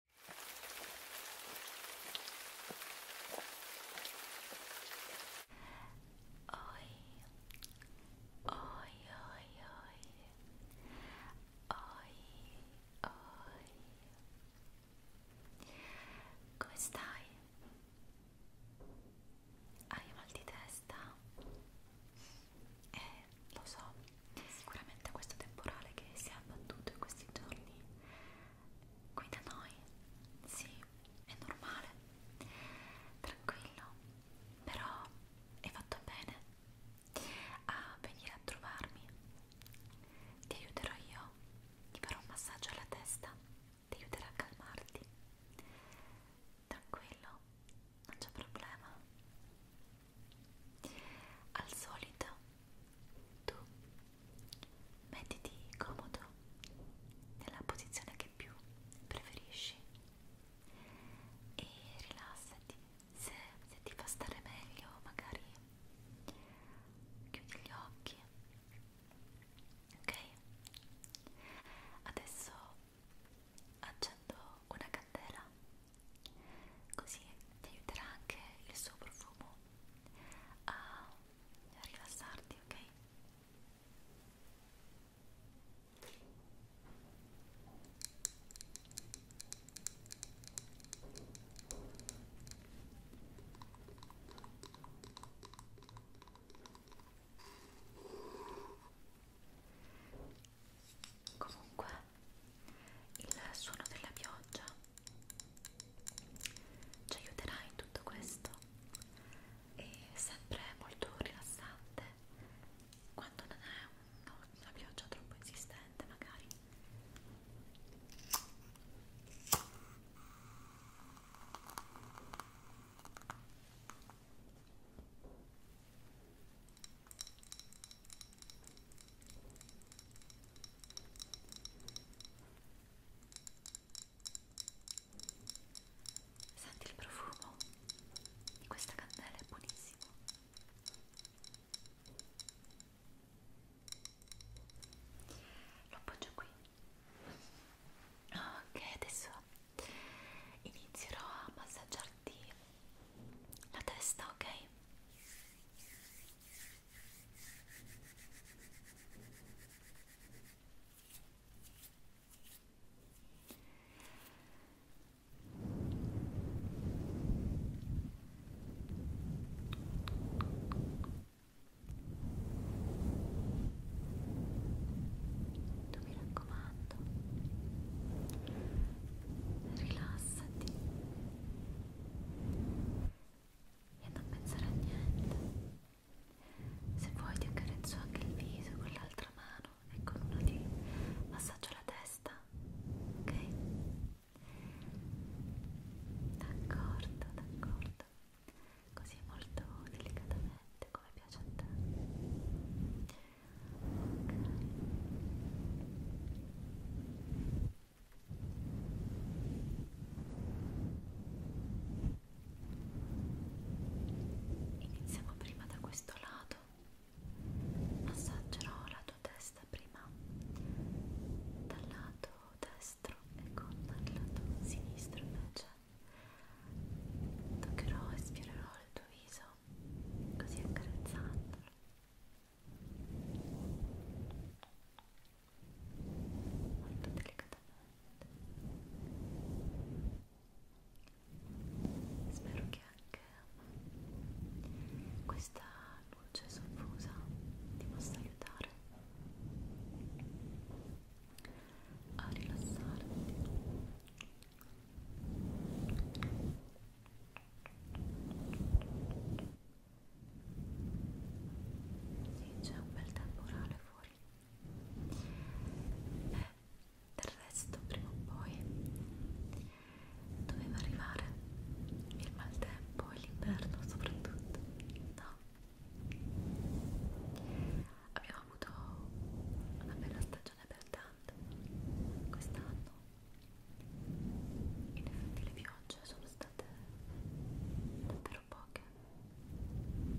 Oi, oi, oi, oi, oi, oi. Come stai? Hai mal di testa? Eh, lo so, Sicuramente questo temporale che si è abbattuto in questi giorni qui da noi, sì, è normale, tranquillo, però è fatto bene a venire a trovarmi. Ti aiuterò io, ti farò un massaggio alla testa, ti aiuterò a calmarti. Tranquillo, non c'è problema. Al solito tu mettiti comodo nella posizione che più preferisci e rilassati. Se, se ti fa stare meglio, magari chiudi gli occhi. Ok? Adesso accendo una candela così ti aiuterà anche il suo profumo a rilassarti, ok? Comunque il suono della pioggia ci aiuterà in tutto questo è sempre molto rilassante quando non è una, una pioggia troppo insistente magari Senti il profumo di questa candela, è buonissimo. Lo appoggio qui. Ok, adesso inizierò a massaggiarti la testa, ok? Tu mi raccomando, rilassati e non pensare a niente. Se vuoi ti accarezzo anche il viso con l'altra mano e con una ti massaggio la testa, ok? D'accordo, d'accordo. Così molto delicatamente come piace a te. Ok. Iniziamo prima da questo lato. Massaggerò la tua testa prima dal lato destro e con il lato sinistro invece toccherò e sfiorerò il tuo viso così accarezzandolo molto delicatamente spero che anche questa luce soffusa ti possa aiutare a rilassarti e sì, c'è un bel temporale fuori. Beh, del resto, prima o poi doveva arrivare il maltempo e l'inverno, soprattutto. No? Abbiamo avuto una bella stagione abbondante quest'anno in effetti le piogge sono state davvero poche. Io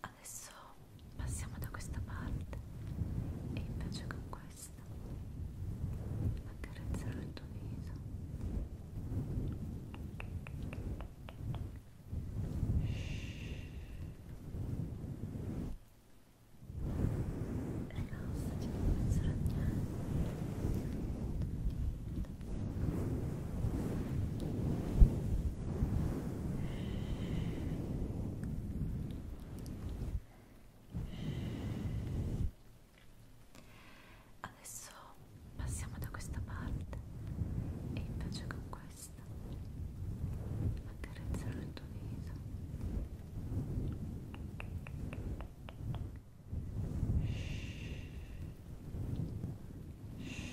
adesso passiamo da questa parte e invece con questa accarezzerò il tuo viso rilassati non pensare a niente Adesso passiamo da questa parte e invece con questa accarezzerò il tuo viso. Shhh. Shhh.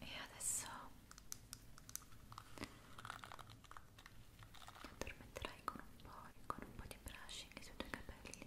e adesso ti addormenterai con un po', con un po' di brushing sui tuoi capelli e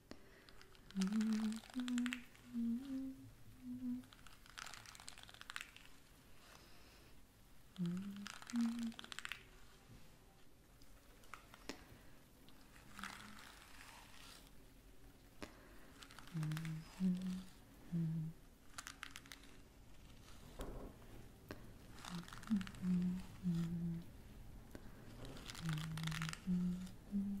Mm -hmm. -hmm. -hmm. -hmm. -hmm. -hmm. -hmm. -hmm. -hmm. -hmm.